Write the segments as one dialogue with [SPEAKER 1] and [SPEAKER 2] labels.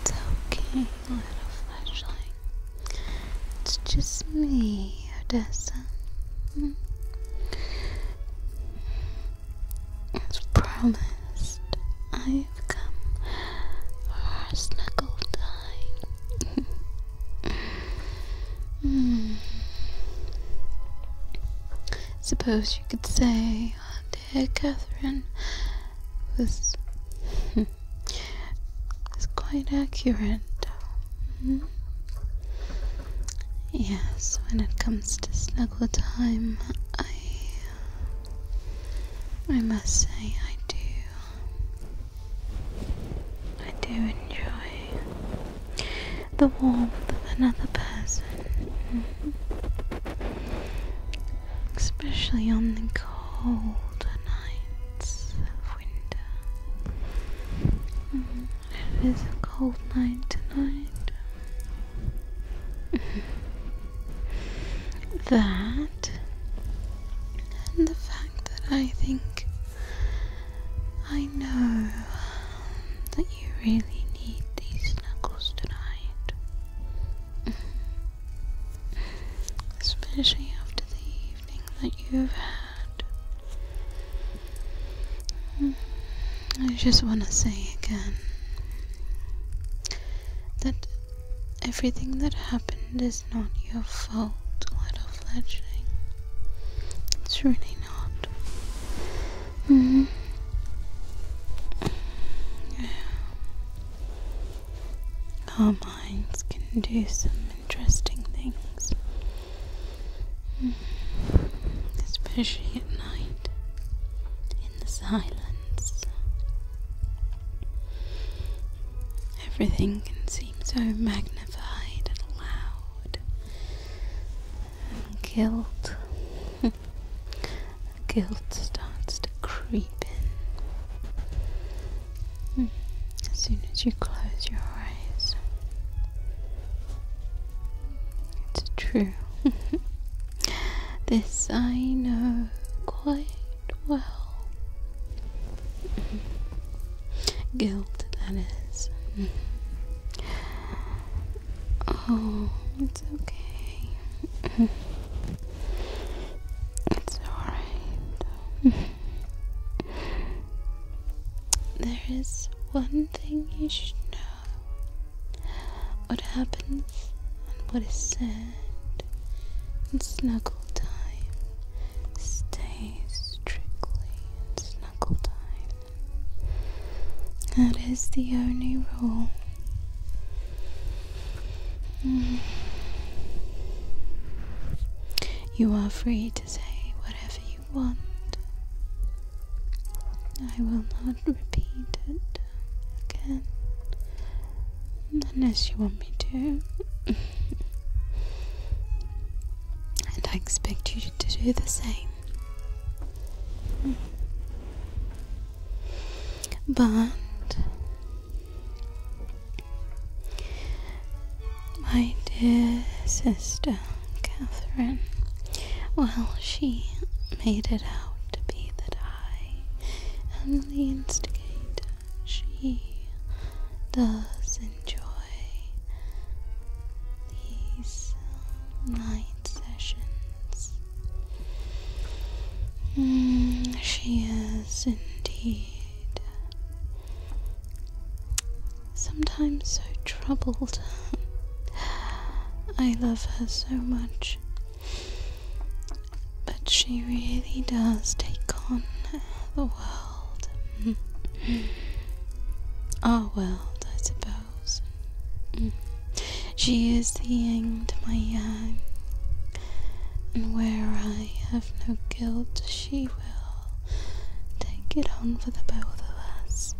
[SPEAKER 1] It's okay, little flashlight. It's just me, Odessa. Mm. promised, I've come for our snuggle time. Hmm. Suppose you could say, dear Catherine this is quite accurate. Mm-hmm. Yes, when it comes to snuggle time, I I must say I do I do enjoy the warmth of another person. Mm-hmm especially on the cold nights of winter. Mm-hmm. it is a cold night tonight. that and the fact that I think I know that you really need these knuckles tonight. Especially after the evening that you've had. I just want to say again that everything that happened is not your fault, little fledgling. It's really not. Mm-hmm. Yeah. Our minds can do some interesting things, hmm. especially at night in the silence. Everything can seem so magnified and loud and gilt. guilt starts to creep in hmm. as soon as you close your eyes. It's true. this I know quite well. Guilt, that is. Oh, it's okay. it's alright. there is one thing you should know. What happens and what is said in snuggle stays strictly in snuggle That is the only rule. Mm. You are free to say whatever you want. I will not repeat it again unless you want me to. and I expect you to do the same. But my dear sister Catherine, well, she made it out to be that I am the instigator. She does enjoy these night sessions Mm, she is indeed sometimes so troubled. I love her so much, but she really does take on the world. Our world, I suppose. Mm. She is the end to my yang, and where I have no guilt, she will take it on for the both of us.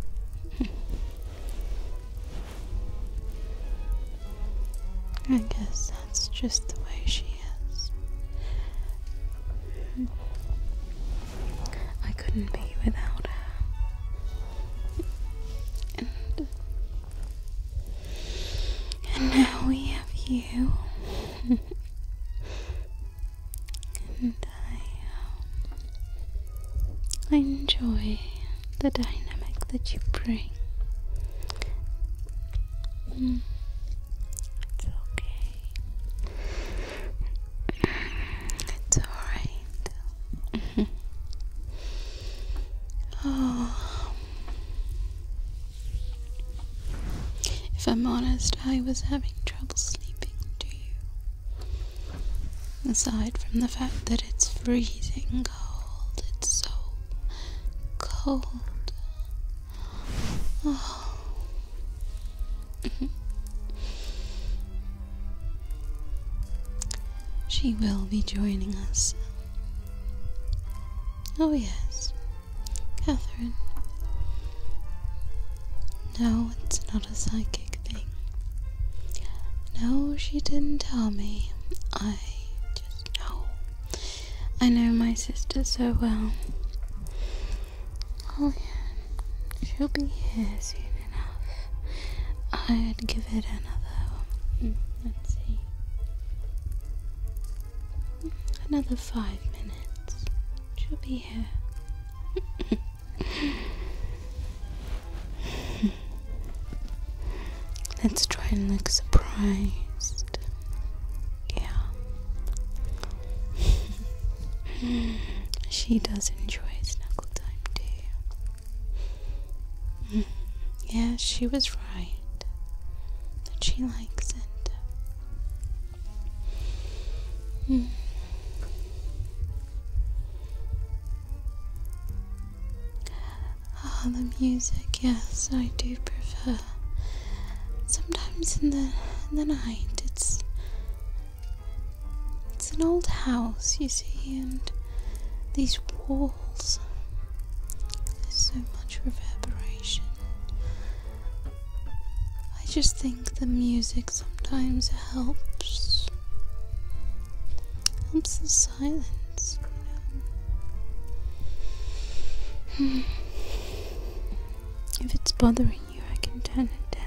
[SPEAKER 1] I guess that's just the way she is. I couldn't be without her. And, now we have you. and I, uh, I enjoy the dynamic that you bring. Mm. It's okay. It's alright. Oh. If I'm honest, I was having trouble sleeping, do you? Aside from the fact that it's freezing cold, it's so cold. Oh. She will be joining us. Oh, yes, Catherine. No, it's not a psychic thing. No, she didn't tell me. I just know. I know my sister so well. Oh, yeah. She'll be here soon enough. I would give it another. Hmm, let's see. Another five minutes. She'll be here. Let's try and look surprised. Yeah. she does enjoy snuggle time too. Yes, she was right. That she likes it. Mm. the music, yes, I do prefer. Sometimes in the in the night, it's it's an old house, you see, and these walls. There's so much reverberation. I just think the music sometimes helps. Helps the silence, you hmm. If it's bothering you, I can turn it down.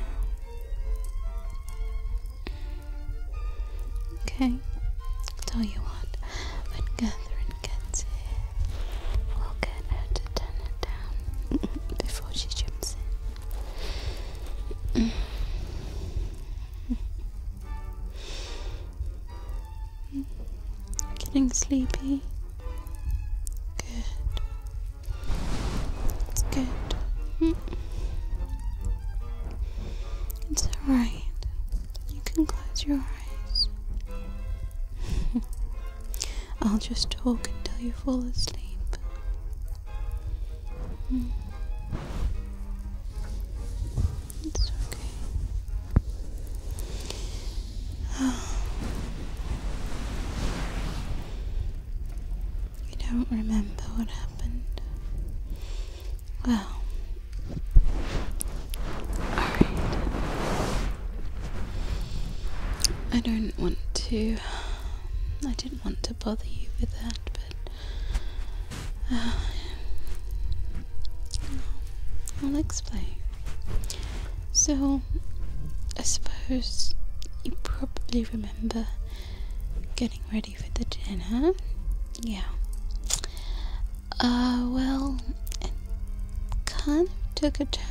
[SPEAKER 1] Okay, I'll tell you what, when Catherine gets here, we'll get her turn it down before she jumps in. Getting sleepy? Good. It's good. It's alright. You can close your eyes. I'll just talk until you fall asleep. Mm. It's okay. You don't remember what happened? Well, I don't want to. I didn't want to bother you with that, but. Uh, I'll explain. So, I suppose you probably remember getting ready for the gin, Yeah. Uh, well, kind of took a turn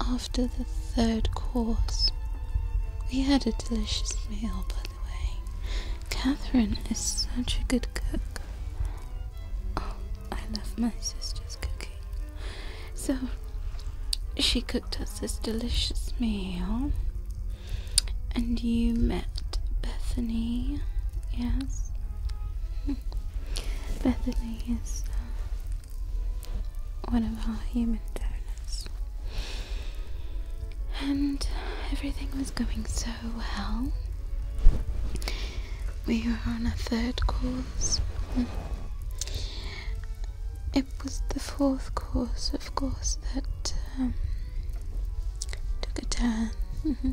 [SPEAKER 1] after the third course. We had a delicious meal, by the way. Catherine is such a good cook. Oh, I love my sister's cooking. So, she cooked us this delicious meal. And you met Bethany, yes? Hmm. Bethany is uh, one of our human donors. And everything was going so well. We were on a third course. Hmm it was the fourth course, of course, that um, took a turn mm-hmm.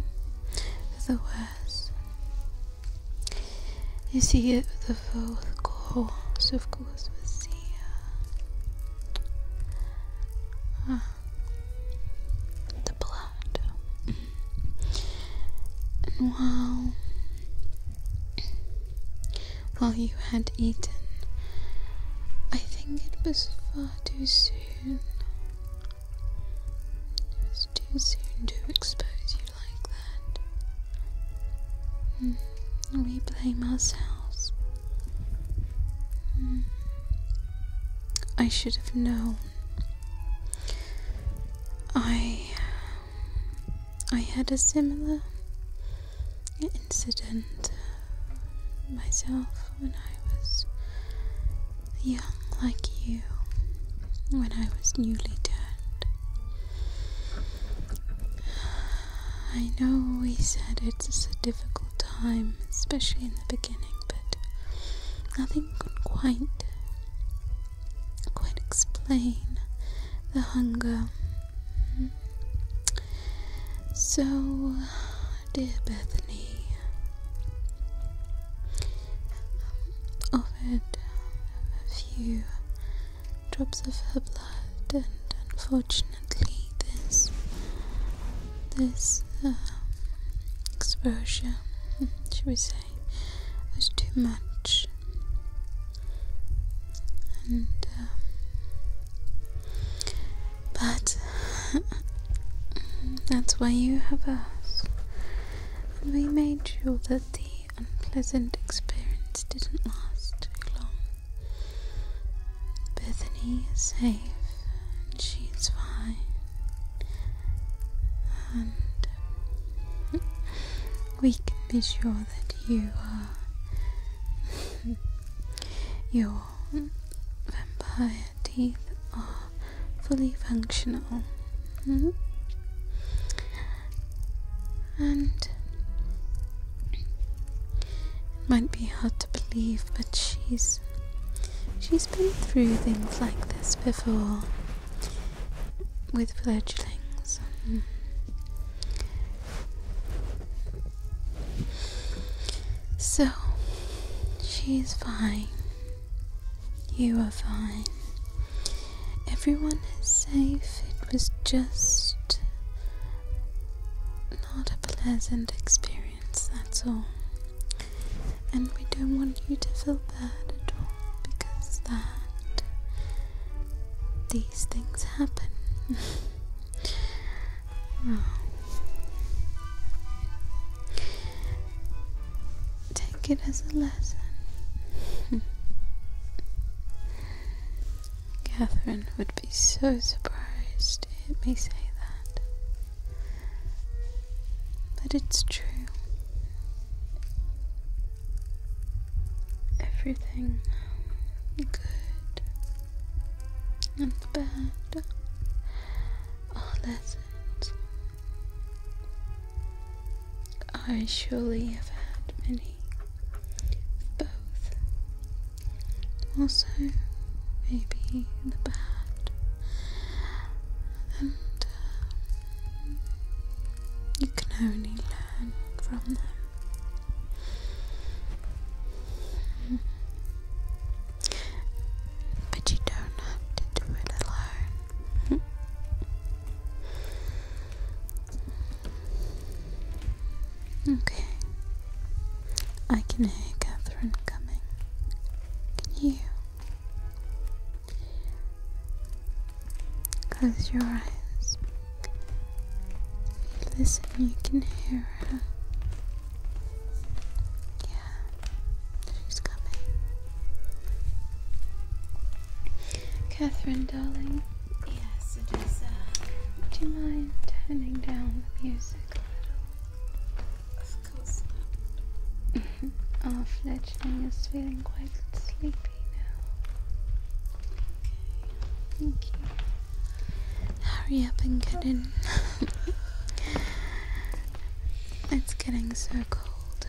[SPEAKER 1] for the worse. You see, it, the fourth course, of course, was the, uh, ah, the blood. Mm-hmm. and while while you had eaten. I think it was far too soon. It was too soon to expose you like that. Hmm, we blame ourselves. Hmm, I should have known. I I had a similar incident uh, myself when I was young, like you, when I was newly turned. I know we said it's a difficult time, especially in the beginning, but nothing could quite quite explain the hunger so, dear Bethany, offered um, a few drops of her blood, and unfortunately, this this um, exposure, hmm, should we say, was too much but um, that's why you have us and we made sure that the unpleasant experience didn't last too long Bethany is safe and she's fine and um, we can be sure that you are. your vampire teeth are fully functional. Mm-hmm. And it might be hard to believe, but she's she's been through things like this before with fledglings. Mm-hmm. So, she's fine. You are fine. Everyone is safe. It was just not a pleasant experience, that's all. And we don't want you to feel bad at all because that these things happen. Oh. Take it as a lesson. Catherine would be so surprised to hear say that. But it's true everything good and bad are lessons. I surely have had many both. Also, maybe the bad. And um, you can only learn from them. But you don't have to do it alone. okay. I can hear Catherine coming. Can you? Close your eyes. Listen, you can hear her. Yeah, she's coming. Catherine, darling. Yes, it is. Uh... Do you mind turning down the music a little? Of course not. Our fledgling is feeling quite sleepy. Hurry up and get in. it's getting so cold.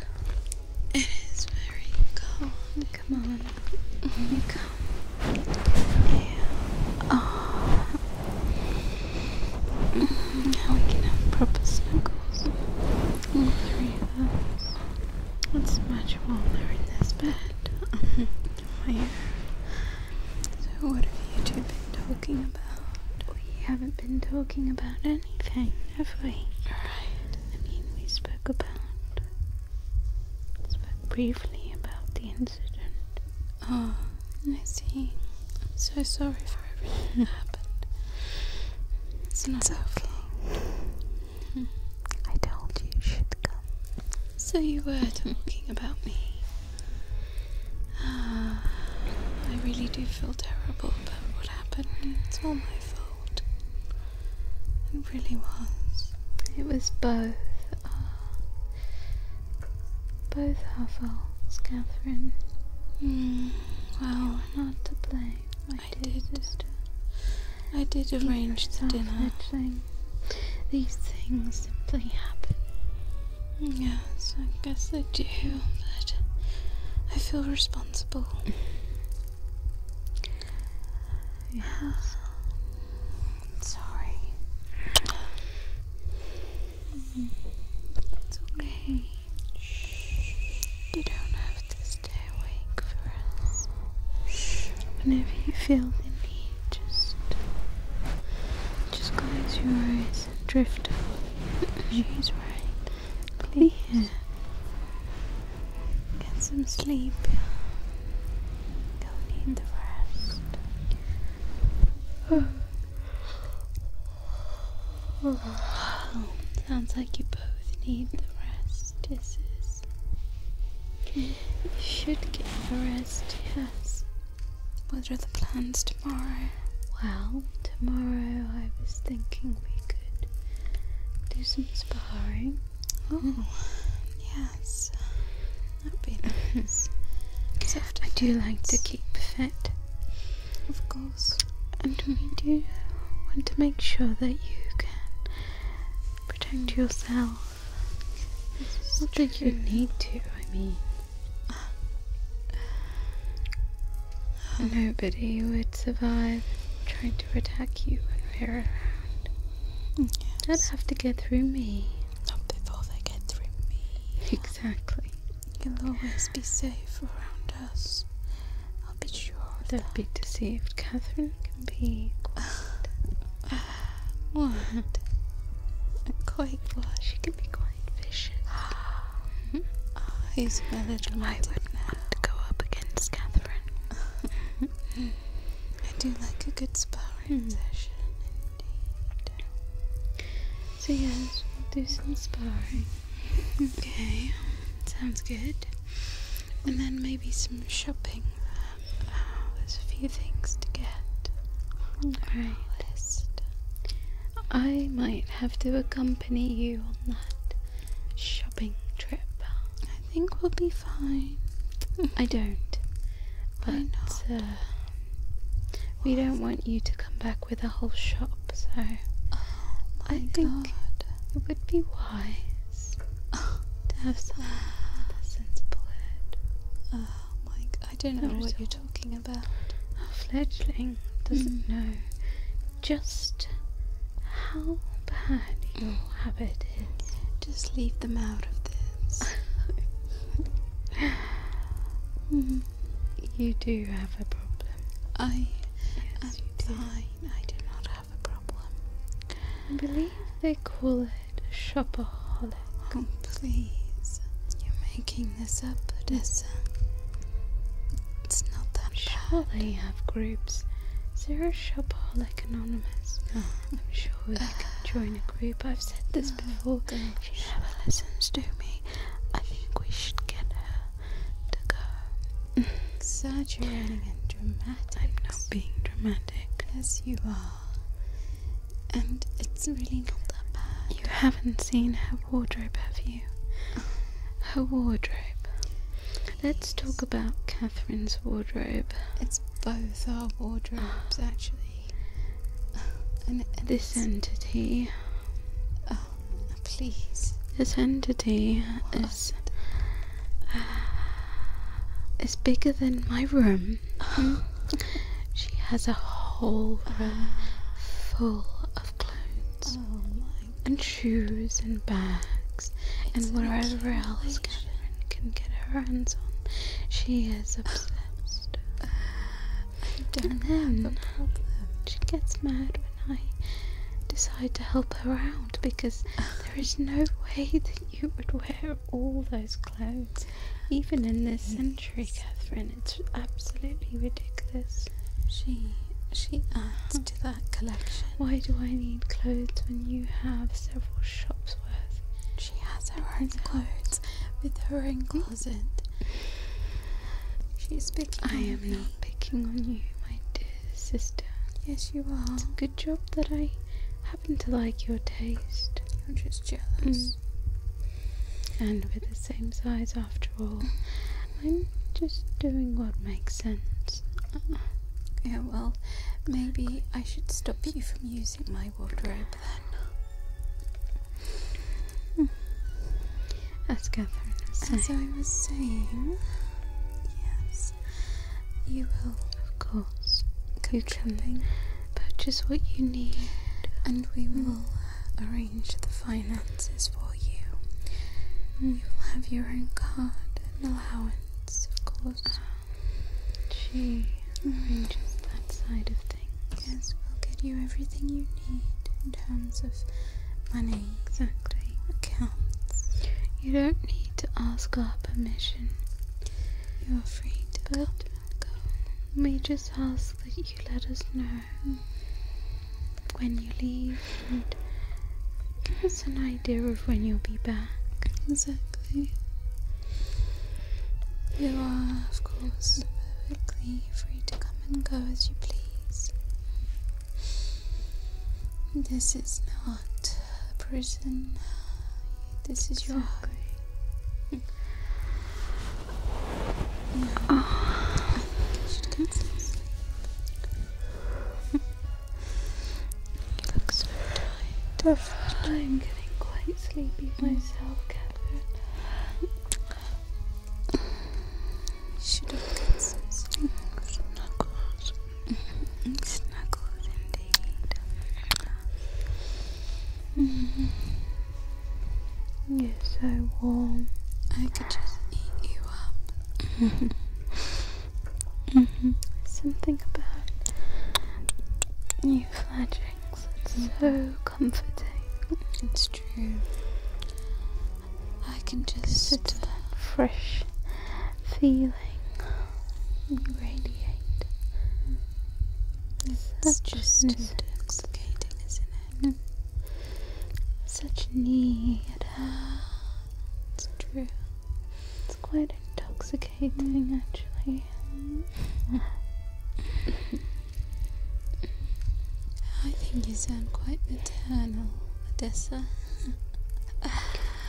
[SPEAKER 1] It is very cold. Come on. come. Oh. Now we can have proper snuggles. All oh, three it's much warmer in this bed. My So what have you two been talking about? We haven't been talking about anything, have we? Right. I mean, we spoke about... Spoke briefly about the incident. Oh, I see. I'm so sorry for everything that happened. It's not so. okay. Hmm. I told you should come. So you were talking about me. Ah, I really do feel terrible about what happened. It's all my fault. It really was. It was both. Uh, both our faults, Catherine. Mm, well, you're not to blame. I did. I did arrange the dinner. These things simply happen. Yes, I guess they do, but I feel responsible. yes. sorry. Mm-hmm. It's okay. You don't have to stay awake for us. Whenever you feel the need, just just close your eyes and drift off. She's right. Please. Please get some sleep. you need the rest. Sounds like you both need the rest disease. You should get a rest, yes. What are the plans tomorrow? Well, tomorrow I was thinking we could do some sparring. Oh, hmm. yes. That'd be nice. I do like to keep fit. Of course and we do want to make sure that you can protect yourself. Not that you need to, I mean. Nobody would survive trying to attack you when we're around. Yes. They'd have to get through me. Not before they get through me. Exactly. You'll always be safe around I'll be sure of do that. be deceived. Catherine can be quite... what? quite She can be quite vicious. Oh, he's a little light now. to go up against Catherine. I do like a good sparring hmm. session, indeed. So yes, do some sparring. Okay, sounds good. And then maybe some shopping. Um, there's a few things to get. Alright. I might have to accompany you on that shopping trip. I think we'll be fine. I don't. But Why uh, we don't want you to come back with a whole shop, so oh I think God it would be wise to have some sensible head. Oh, Mike, I don't know what you're talking about. A fledgling doesn't mm. know just how bad your mm. habit is. Just leave them out of this. Mm-hmm. You do have a problem. I. Yes, you I do not have a problem. believe they call it shopaholic. Oh, please. You're making this up, Odessa. It's not that sure they have groups. Zero there shopaholic anonymous? Oh. I'm sure you can uh, join a group. I've said this oh, before. Gosh. She never listens to me. I think we should get her to go. Saturating and dramatic. I'm not being dramatic. Yes, you are. And it's really not that bad. You haven't seen her wardrobe, have you? Her wardrobe. Let's talk about Catherine's wardrobe. It's both our wardrobes, actually. And this entity. Oh. Please. This entity what? is uh, is bigger than my room. she has a whole room full of clothes oh and shoes and bags
[SPEAKER 2] and whatever else
[SPEAKER 1] Catherine can get her hands on. She is obsessed. don't and have She gets mad I decide to help her out because there is no way that you would wear all those clothes, even in this century, Catherine. It's absolutely ridiculous. She she adds to that collection. Why do I need clothes when you have several shops worth? She has her own clothes with her own closet. She's big. I am not picking on you, my dear sister. Yes, you are. good job that I happen to like your taste. You're just jealous. Mm. And we're the same size after all. I'm just doing what makes sense. Ah. yeah, well, maybe I should stop you from using my wardrobe then. Hmm as Catherine was saying. I was saying, yes, you will, of course, go you shopping, purchase what you need, and we will uh, arrange the finances for you. You will have your own card and allowance, of course. Um, she arranges mm. that side of things. Yes, we'll get you everything you need in terms of money exactly accounts. You don't need to ask our permission. You're free to come and go. We just ask that you let us know when you leave and give an idea of when you'll be back. Exactly. You are, of course, perfectly free to come and go as you please. This is not a prison. This is your home. Oh. you look so tired. I'm getting quite sleepy myself, Catherine. Should get indeed. Mm -hmm. You're so warm. I could just eat you up. Mm-hmm. Mm-hmm. Something about you fledglings. It's so comforting. It's true. I can just it's that uh, fresh feeling radiate. It's Such just intoxicating, isn't it? Mm. Such need. It's true. It's quite intoxicating, mm. actually. I think you sound quite maternal, Odessa.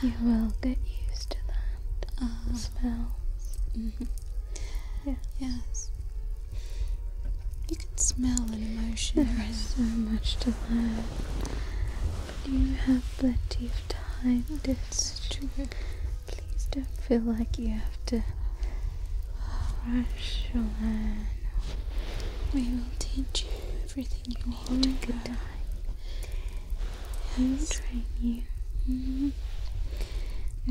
[SPEAKER 1] you will get used to that. Ah. smell. Mm-hmm. Yes. You can smell an emotion. There is so much to learn. But you have plenty of time. It's true. Please don't feel like you have to Rashulana, we will teach you everything you need All to good We Time. Yes. train you. Mm -hmm.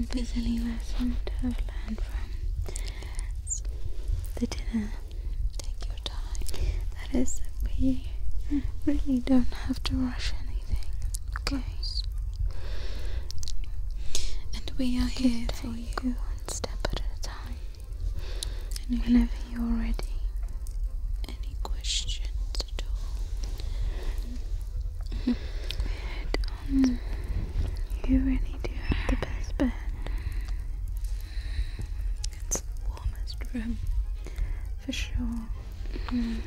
[SPEAKER 1] If there's any lesson to have learned from the dinner, take your time. That is, we really don't have to rush anything. Okay. And we are here for you, one step at a time and whenever you're ready. Any questions at all? Mm-hmm. Head on. Um, you really do have the best bed. It's the warmest room, for sure. Mm. Mm-hmm.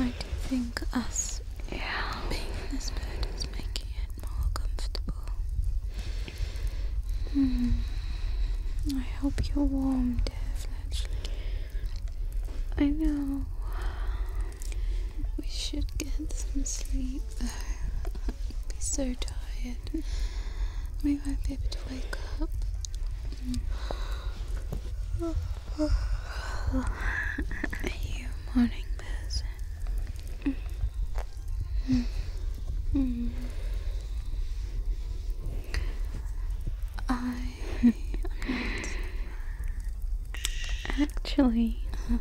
[SPEAKER 1] Why think us? yeah. being in this bed is making it more comfortable. Hmm. I hope you're warm, dear I know. We should get some sleep, though. I'd be so tired. We won't be able to wake up. Are you morning person? I actually uh,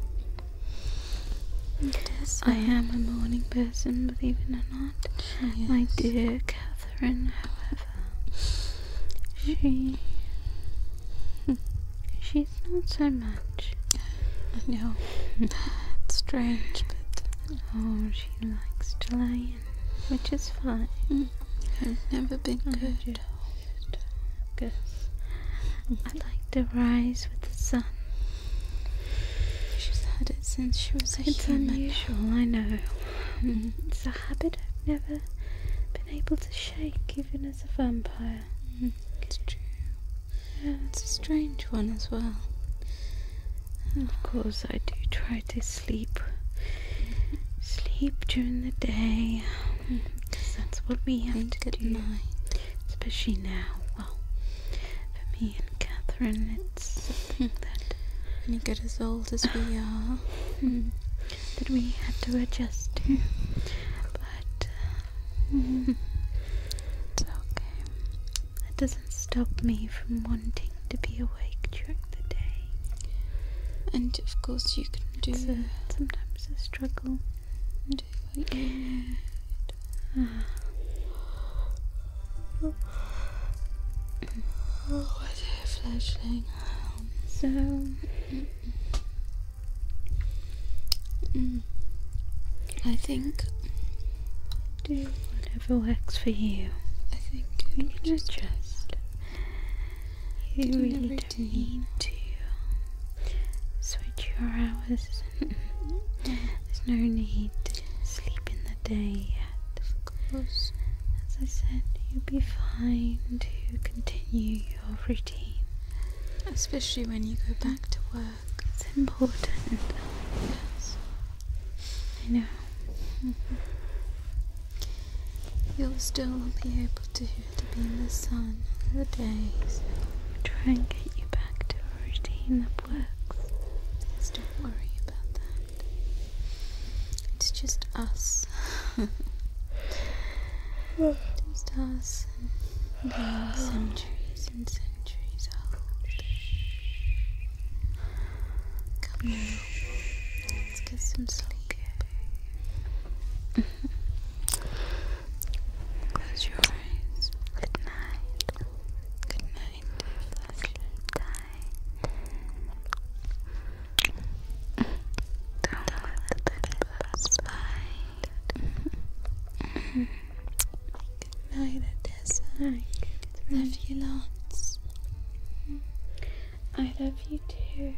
[SPEAKER 1] I am a morning person, believe it or not. My dear Catherine, however, she She's not so much. no. know. strange, but. Oh, she likes to lie in, which is fine. Mm-hmm. I've never been I good. Good. I like to rise with the sun. She's had it since she was a it's human. It's unusual, I know. Mm-hmm. It's a habit I've never been able to shake, even as a vampire it's true. Yeah, it's a strange one as well. of course, I do try to sleep. Sleep during the day. that's what we have and to good do. Night. Especially now. Well, for me and Catherine, it's something that. When you get as old as we are, that we have to adjust to. But uh, it's okay. That doesn't stop me from wanting to be awake during the day. And of course, you can do. It's sometimes a struggle. Do what Mm. I think. Do whatever works for you. I think you just trust. You really don't need to switch your hours. Mm. There's no need to sleep in the day yet. Of course. As I said, you'll be fine to continue your routine, especially when you go back to work. It's important. Yes. I know. Mm-hmm. You'll still be able to, to be in the sun the days. Trying to get you back to a routine that works. don't worry about that. It's just us. just us years and centuries and centuries Come on, let's get some sleep. Close your eyes. Good night. Good night. Don't let the bed pass Good night, Odessa. Love you lots. I love you too.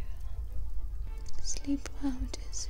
[SPEAKER 1] Sleep well, Odessa.